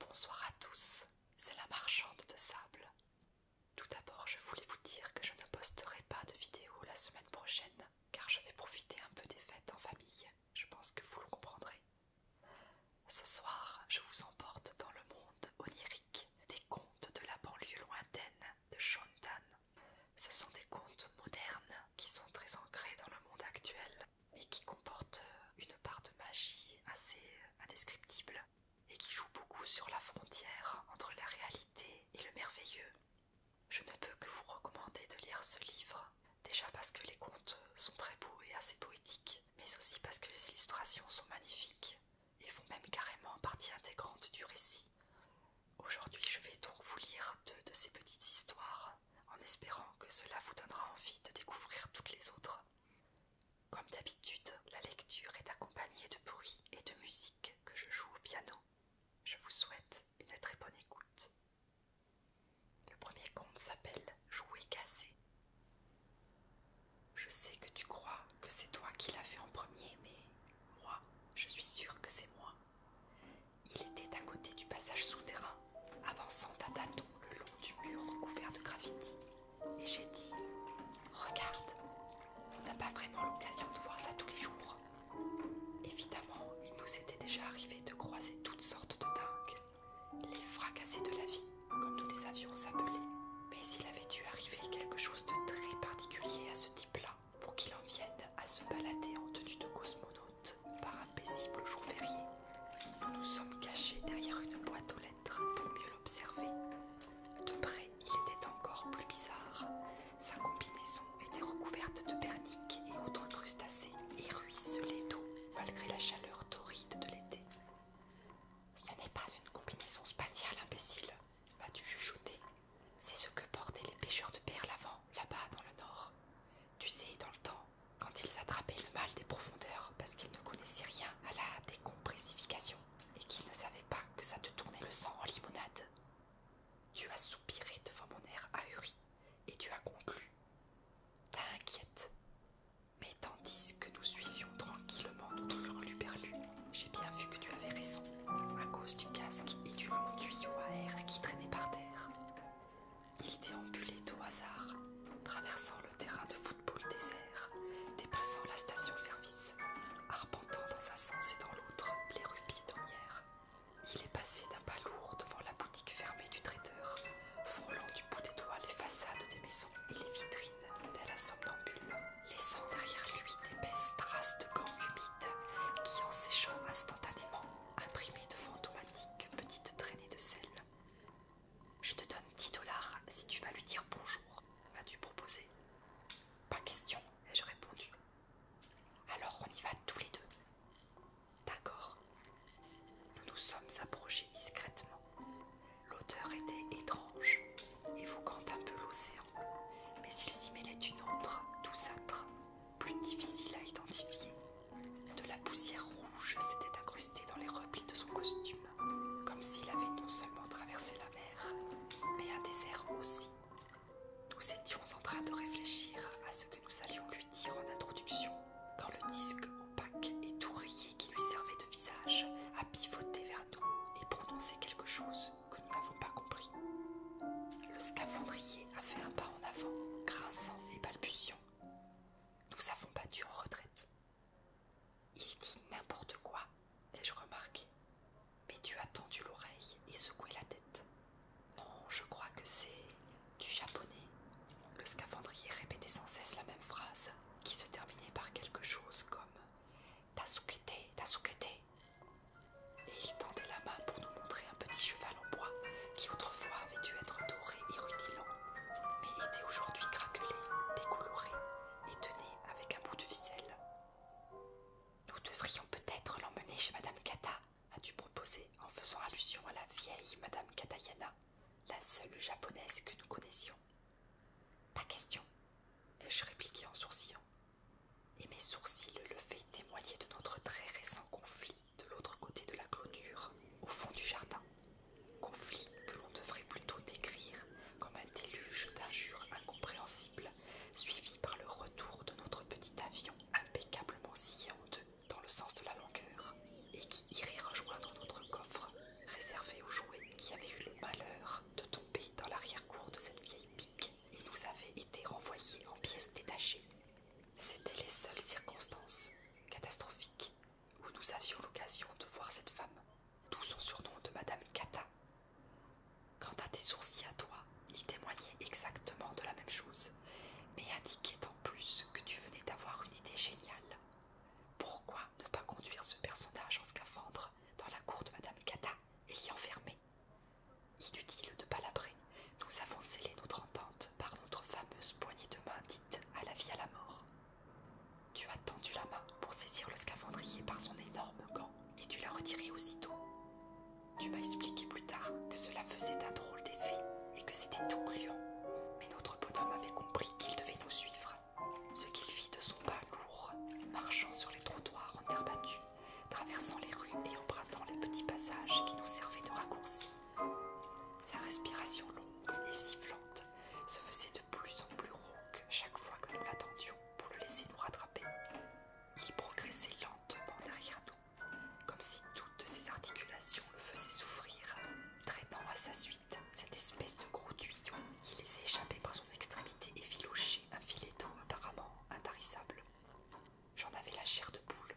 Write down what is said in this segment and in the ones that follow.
Bonsoir à tous, c'est la marchande de sable. Tout d'abord, je voulais vous dire que je ne posterai pas de vidéo la semaine prochaine, car je vais profiter un peu des fêtes en famille. Je pense que vous le comprendrez. Ce soir, je vous emporte dans le monde onirique des contes de la banlieue lointaine de Shontan. Ce sont des contes modernes qui sont très ancrés dans le monde actuel mais qui comporte euh, une part de magie assez euh, indescriptible et qui joue beaucoup sur la frontière entre la réalité et le merveilleux. Je ne peux que vous recommander de lire ce livre, déjà parce que les contes sont très beaux et assez poétiques, mais aussi parce que les illustrations sont magnifiques et font même carrément partie intégrante du récit. Aujourd'hui, je vais donc vous lire deux de ces petites histoires en espérant que cela vous donnera envie de découvrir toutes les autres comme d'habitude, la lecture est accompagnée de bruits et de musique que je joue au piano. Je vous souhaite une très bonne écoute. Le premier conte s'appelle Jouer cassé. Je sais que tu crois que c'est toi qui l'as vu en premier, mais moi, je suis sûre que c'est moi. Il était à côté du passage souterrain avançant à tâtons le long du mur recouvert de graffiti, et j'ai dit Regarde, on n'a pas vraiment l'occasion de voir ça tous les jours. Évidemment, il nous était déjà arrivé de croiser toutes sortes de dingues, les fracassés de la vie, comme nous les avions appelés. Mais il avait dû arriver quelque chose de très particulier à ce type-là pour qu'il en vienne à se balader en tenue de cosmonaute par un paisible jour férié nous nous sommes cachés derrière une boîte aux lettres pour mieux l'observer. De près, il était encore plus bizarre. Sa combinaison était recouverte de perniques et autres crustacés et ruisselait d'eau malgré la chaleur torride de l'été. Ce n'est pas une combinaison spatiale, imbécile, m'as-tu chuchoté. C'est ce que portaient les pêcheurs de perles avant, là-bas dans le nord. Tu sais, dans le temps, quand ils attrapaient le mal des profondeurs parce qu'ils ne connaissaient rien à la décompressification et qu'ils ne savaient pas que ça te tournait le sang en limonade. Tu as soupiré devant mon air ahuri et tu as conclu. T'inquiète. Mais tandis que nous suivions tranquillement notre hurluberlu, j'ai bien vu que tu avais raison, à cause du casque et du long tuyau à air qui traînait par terre. Il déambulait au hasard, traversant le terrain de football désert, dépassant la station-service, arpentant dans un sens et dans l'autre les rues piétonnières. Il est passé d'un pas lourd devant la boutique fermée du traiteur, frôlant du bout des doigts les façades des maisons et les vitrines Dès la somnambule, laissant derrière lui d'épaisses traces de gants humides qui, en séchant instantanément, imprimaient de fantomatiques petites traînées de sel. Je te donne 10 dollars si tu vas lui dire bonjour, mas tu proposé Pas question, ai-je répondu. Alors on y va tous les deux. D'accord. Nous nous sommes approchés discrètement. L'odeur était étrange, évoquant un peu l'océan, mais il s'y mêlait une autre, douceâtre, plus difficile à identifier. De la poussière rouge s'était incrustée dans les replis de son costume, comme s'il avait non seulement traversé la mer, mais un désert aussi. Nous étions en train de réfléchir à ce que nous allions lui dire en introduction, quand le disque opaque et tout qui lui servait de visage a pivoté vers nous et prononcé quelque chose que nous n'avons pas compris. Le scaphandrier a fait un pas en avant, grinçant et balbutiant. Nous avons battu en retraite. Il dit n'importe quoi, ai-je remarqué. Mais tu as tendu l'oreille et secoué la tête. Non, je crois que c'est du japonais. Le scaphandrier répétait sans cesse la même phrase, qui se terminait par quelque chose comme Tasukete, Tasukete. Et il tendait la main pour nous montrer un petit cheval en bois qui autrefois avait dû être doré et rutilant, mais était aujourd'hui craquelé, décoloré et tenait avec un bout de ficelle. Nous devrions peut-être l'emmener chez Madame Kata, as-tu proposé en faisant allusion à la vieille Madame Katayana, la seule japonaise que nous connaissions. Pas question, ai-je répliqué en sourcillant. Et mes sourcils le levés témoigner de notre très récent conflit de l'autre côté de la clôture, au fond du jardin. Conflit que l'on devrait plutôt décrire comme un déluge d'injures incompréhensibles, suivi par le retour de notre petit avion impeccablement scié en deux dans le sens de la longueur, et qui irait rejoindre notre coffre, réservé aux jouets qui avaient eu le malheur de tomber dans l'arrière-cour de cette vieille pique et nous avaient été renvoyés en pièces détachées. C'étaient les seules circonstances catastrophiques où nous avions l'occasion de voir cette femme, d'où son surnom de Madame Kata. Quant à tes sourcils à toi, ils témoignaient exactement de la même chose, mais indiquaient en plus que tu venais d'avoir une idée géniale. Pourquoi ne pas conduire ce personnage en scaphandre dans la cour de Madame Kata et l'y enfermer Inutile de palabrer, nous avons scellé notre entente par notre fameuse poignée de main dite à la vie à la mort. Tu as tendu la main pour saisir le scaphandrier par son énorme gant et tu l'as retiré aussitôt. Tu m'as expliqué plus tard que cela faisait un drôle d'effet et que c'était tout gluant, mais notre bonhomme avait compris qu'il devait nous suivre. Ce qu'il fit de son pas lourd, marchant sur les trottoirs en terre battue, traversant les rues et empruntant les petits passages qui nous servaient de raccourcis. Sa respiration longue et sifflante se faisait de plus en plus rauque chaque fois que nous l'attendions pour le laisser nous rattraper. Il progressait lentement derrière nous, comme si toutes ses articulations le faisaient souffrir, traînant à sa suite cette espèce de gros tuyau qui laissait échapper par son extrémité filocher un filet d'eau apparemment intarissable. J'en avais la chair de poule.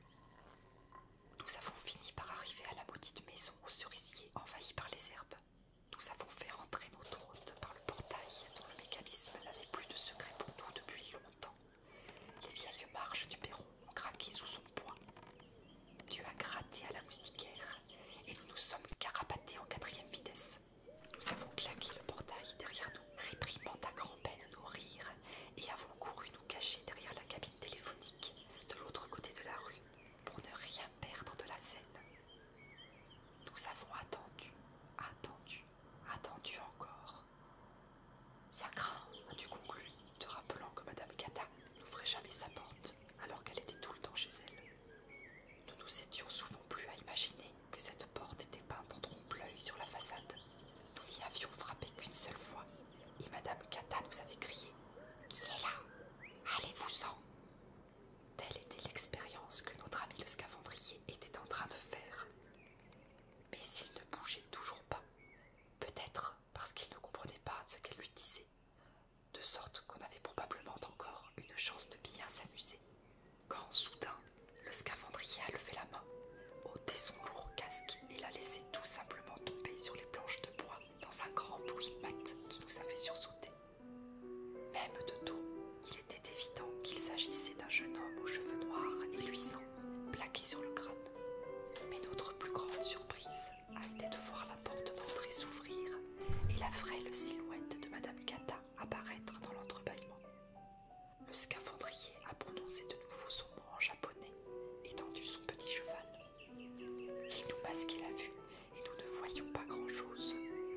Nous avons fini par arriver à la maudite maison aux cerisiers envahis par les herbes. Nous avons fait rentrer notre hôte par le portail dont le mécanisme n'avait plus de secret pour nous depuis longtemps. Les vieilles marches du perron ont craqué sous son poids. Tu as gratté à la moustiquaire et nous nous sommes carapatés en quatrième vitesse. Nous avons claqué le portail derrière nous, réprimant à grand-peine nos rires et avons couru nous cacher derrière la cabine téléphonique de l'autre côté de la rue pour ne rien perdre de la scène. Nous avons attendu, attendu, attendu encore. Sacra a as-tu conclu, te rappelant que Madame Kata n'ouvrait jamais sa porte alors qu'elle était tout le temps chez elle. Nous nous étions souvent plus à imaginer que cette porte était peinte en trompe-l'œil sur la façade. Nous n'y avions frappé qu'une seule fois, et Madame Kata nous avait crié Qui là Allez-vous-en Telle était l'expérience que notre ami le scavandrier était en train de faire. Mais il ne bougeait toujours pas, peut-être parce qu'il ne comprenait pas ce qu'elle lui disait, de sorte qu'on avait probablement encore une chance de bien s'amuser, quand soudain le scavandrier a levé la main, ôté son lourd casque et l'a laissé tout simplement tomber sur les planches de bois dans un grand bruit mat qui nous a fait sursauter. Même de tout, il était évident qu'il s'agissait d'un jeune homme aux cheveux noirs et luisants, plaqué sur le crâne. Mais notre plus grande surprise a été de voir la porte d'entrée s'ouvrir et la frêle silhouette de Madame Kata apparaître dans l'entrebâillement. Le scaphandrier a prononcé de nouveau son mot en japonais, étendu son petit cheval. Il nous masquait la vue et nous ne voyions pas grand-chose,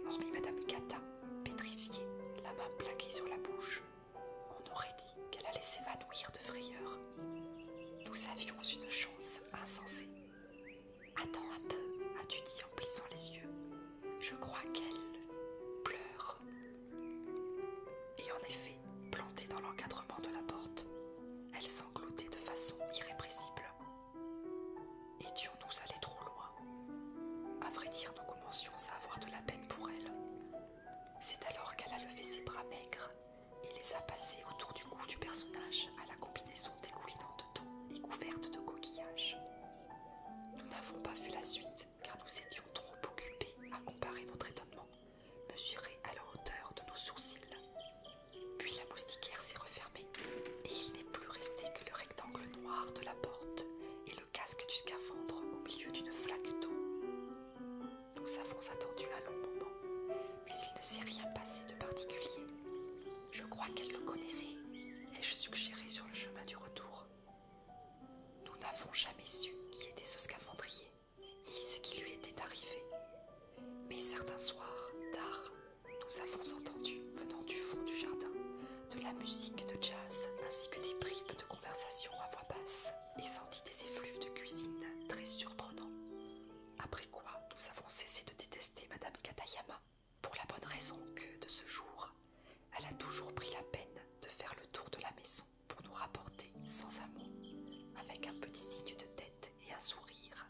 hormis Madame Cata, pétrifiée, la main plaquée sur la bouche. On aurait dit qu'elle allait s'évanouir de frayeur. Nous avions une chance insensée. Attends un peu, as-tu dit en plissant les yeux. Je crois qu'elle pleure. Et en effet, plantée dans l'encadrement de la porte, elle sanglotait de façon irrépressible. Étions-nous allés trop loin À vrai dire, nous commencions à avoir de la peine pour elle. C'est alors qu'elle a levé ses bras maigres et les a passés autour du cou du personnage à la combinaison dégoulinante de d'eau et couverte de coquillages. Nous n'avons pas vu la suite car nous étions trop occupés à comparer notre étonnement, mesuré à la hauteur de nos sourcils, puis la moustiquaire s'est refermée et il n'est plus resté que le rectangle noir de la porte et le casque du scaphandre au milieu d'une flaque d'eau. Nous avons attendu un long moment, mais il ne s'est rien passé de particulier. Je crois qu'elle le connaissait, ai-je suggéré sur le chemin du retour. Nous n'avons jamais su qui était ce scaphandrier, ni ce qui lui était arrivé, mais certains soirs, tard, nous avons entendu, venant du fond du jardin, de la musique de jazz ainsi que des bribes de conversation à voix basse et senti des effluves de cuisine très surprenants. Après quoi, nous avons cessé de détester Madame Katayama, pour la bonne raison que, de ce jour, elle a toujours pris la peine de faire le tour de la maison pour nous rapporter, sans un mot, avec un petit signe de tête et un sourire,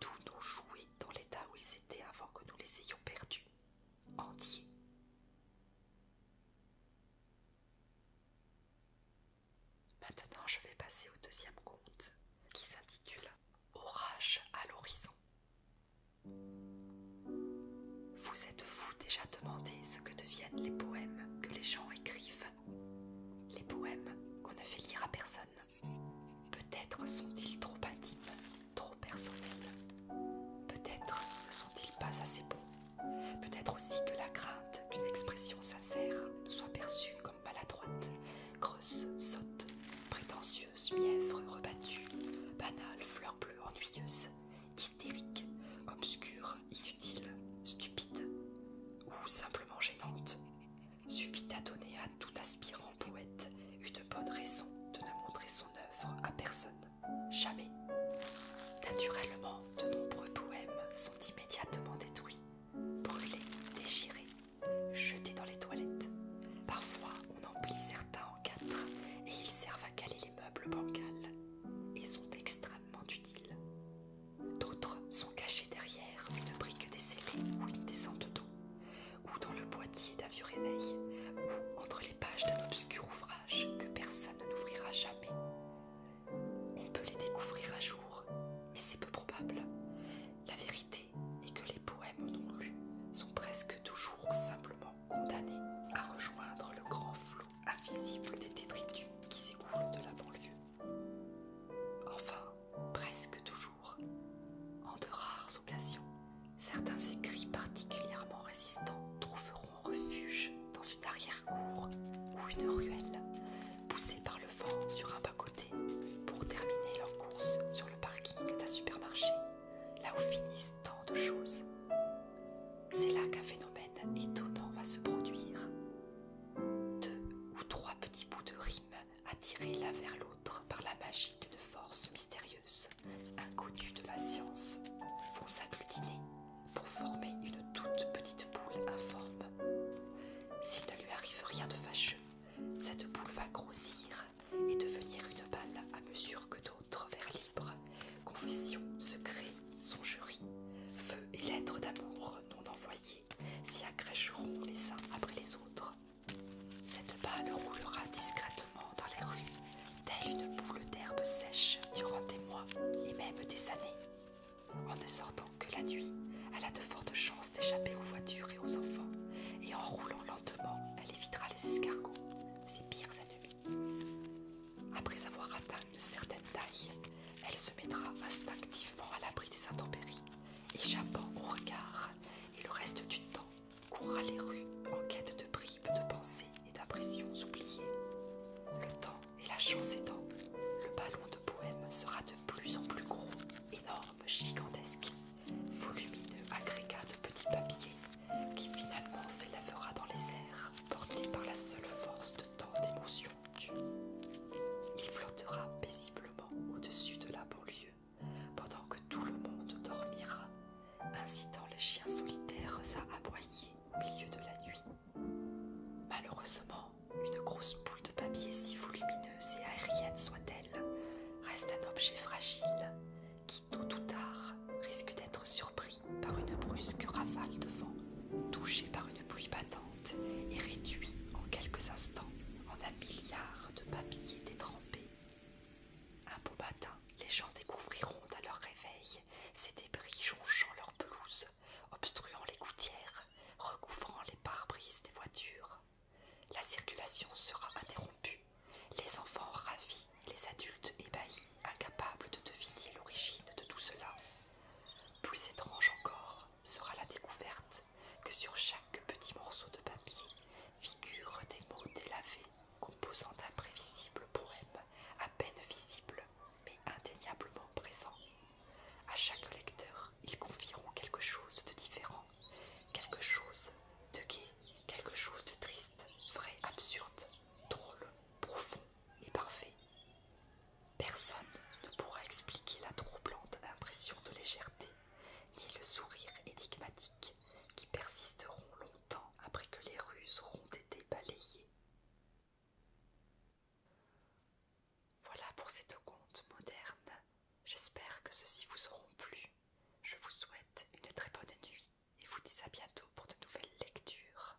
tout nos jouets dans l'état où ils étaient avant que nous les ayons perdus, entiers. Maintenant, je vais passer au deuxième conte qui s'intitule Orage à l'horizon. Vous êtes-vous déjà demandé ce que deviennent les poèmes que les gens écrivent Les poèmes qu'on ne fait lire à personne Peut-être sont-ils trop intimes, trop personnels. Peut-être ne sont-ils pas assez beaux Peut-être aussi que la crainte d'une expression sincère soit perçue comme maladroite, grosse, sotte, prétentieuse, mièvre, rebattue, banale, fleur bleue, ennuyeuse, hystérique, obscure, inutile, stupide ou simplement gênante suffit à donner à tout aspirant poète une bonne raison de ne montrer son œuvre à personne, jamais. Naturellement, de nombreux poèmes sont immédiatement détruits, brûlés, déchirés, jetés dans les toilettes. Parfois, on en plie certains en quatre et ils servent à caler les meubles bancals et sont extrêmement utiles. D'autres sont cachés derrière une brique descellée ou une descente d'eau, ou dans le boîtier d'un vieux réveil, ou entre les pages d'un obscur ouvrage que personne n'ouvrira jamais. On peut les découvrir à jour, mais c'est peu probable. La vérité est que les poèmes non lus sont presque toujours simplement condamnés à rejoindre le grand flot invisible des détritus qui s'écoulent de la banlieue. Enfin, presque toujours. En de rares occasions, certains écrits particulièrement résistants trouveront refuge dans une arrière-cour ou une ruelle, poussés par le vent sur un bas-côté pour terminer leur course sur le parking d'un supermarché, là où finissent tant de choses. C'est là qu'un phénomène étonnant va se produire. Deux ou trois petits bouts de rime attirés l'un vers l'autre par la magie d'une force mystérieuse, inconnue de la science, vont s'agglutiner pour former une toute petite boule informe. S'il ne lui arrive rien de fâcheux, cette boule va grossir et devenir une balle à mesure que d'autres vers libres, confessions, secrets, songeries, feu et lettres d'amour non envoyées s'y agrégeront les uns après les autres. Cette balle roulera discrètement dans les rues, telle une boule d'herbe sèche durant des mois et même des années. En ne sortant que la nuit, elle a de fortes chances d'échapper aux voitures et aux enfants, et en roulant lentement, elle évitera les escargots, ses pires ennemis. Après avoir atteint une certaine taille, elle se mettra instinctivement à l'abri des intempéries échappant au regard, et le reste du temps courra les rues en quête de bribes de pensées et d'impressions oubliées. Le temps et la chance étant, le ballon de poème sera de plus en plus gros, énorme, gigantesque, volumineux agrégat de petits papiers qui finalement s'élèvera dans les airs, porté par la seule force de tant d'émotions Il flottera paisiblement au-dessus de la banlieue, pendant que tout le monde dormira, incitant les chiens solitaires à aboyer au milieu de la nuit. Malheureusement, une grosse boule de papier, si volumineuse et aérienne soit-elle, reste un objet fragile qui, tôt ou tard, risque d'être surpris par une brusque rafale de vent, touché par une pluie battante et réduit en quelques instants en un milliard de papiers détrempés. Un beau matin, les gens découvriront à leur réveil ces débris jonchant leurs pelouses, obstruant les gouttières, recouvrant les pare-brises des voitures. La circulation sera interrompue, les enfants ravis, les adultes ébahis, incapables de deviner l'origine de tout cela. Plus étrange encore, sera la découverte que sur chaque petit morceau de papier figurent des mots délavés composant d'imprévisibles poèmes poème à peine visible mais indéniablement présent. À chaque lecteur, ils confieront quelque chose de différent, quelque chose de gai, quelque chose de triste, vrai, absurde, drôle, profond et parfait. Personne ne pourra expliquer la troublante impression de légèreté, ni le sourire énigmatique qui persisteront longtemps après que les rues auront été balayées. Voilà pour cette conte moderne. J'espère que ceux-ci vous auront plu. Je vous souhaite une très bonne nuit et vous dis à bientôt pour de nouvelles lectures.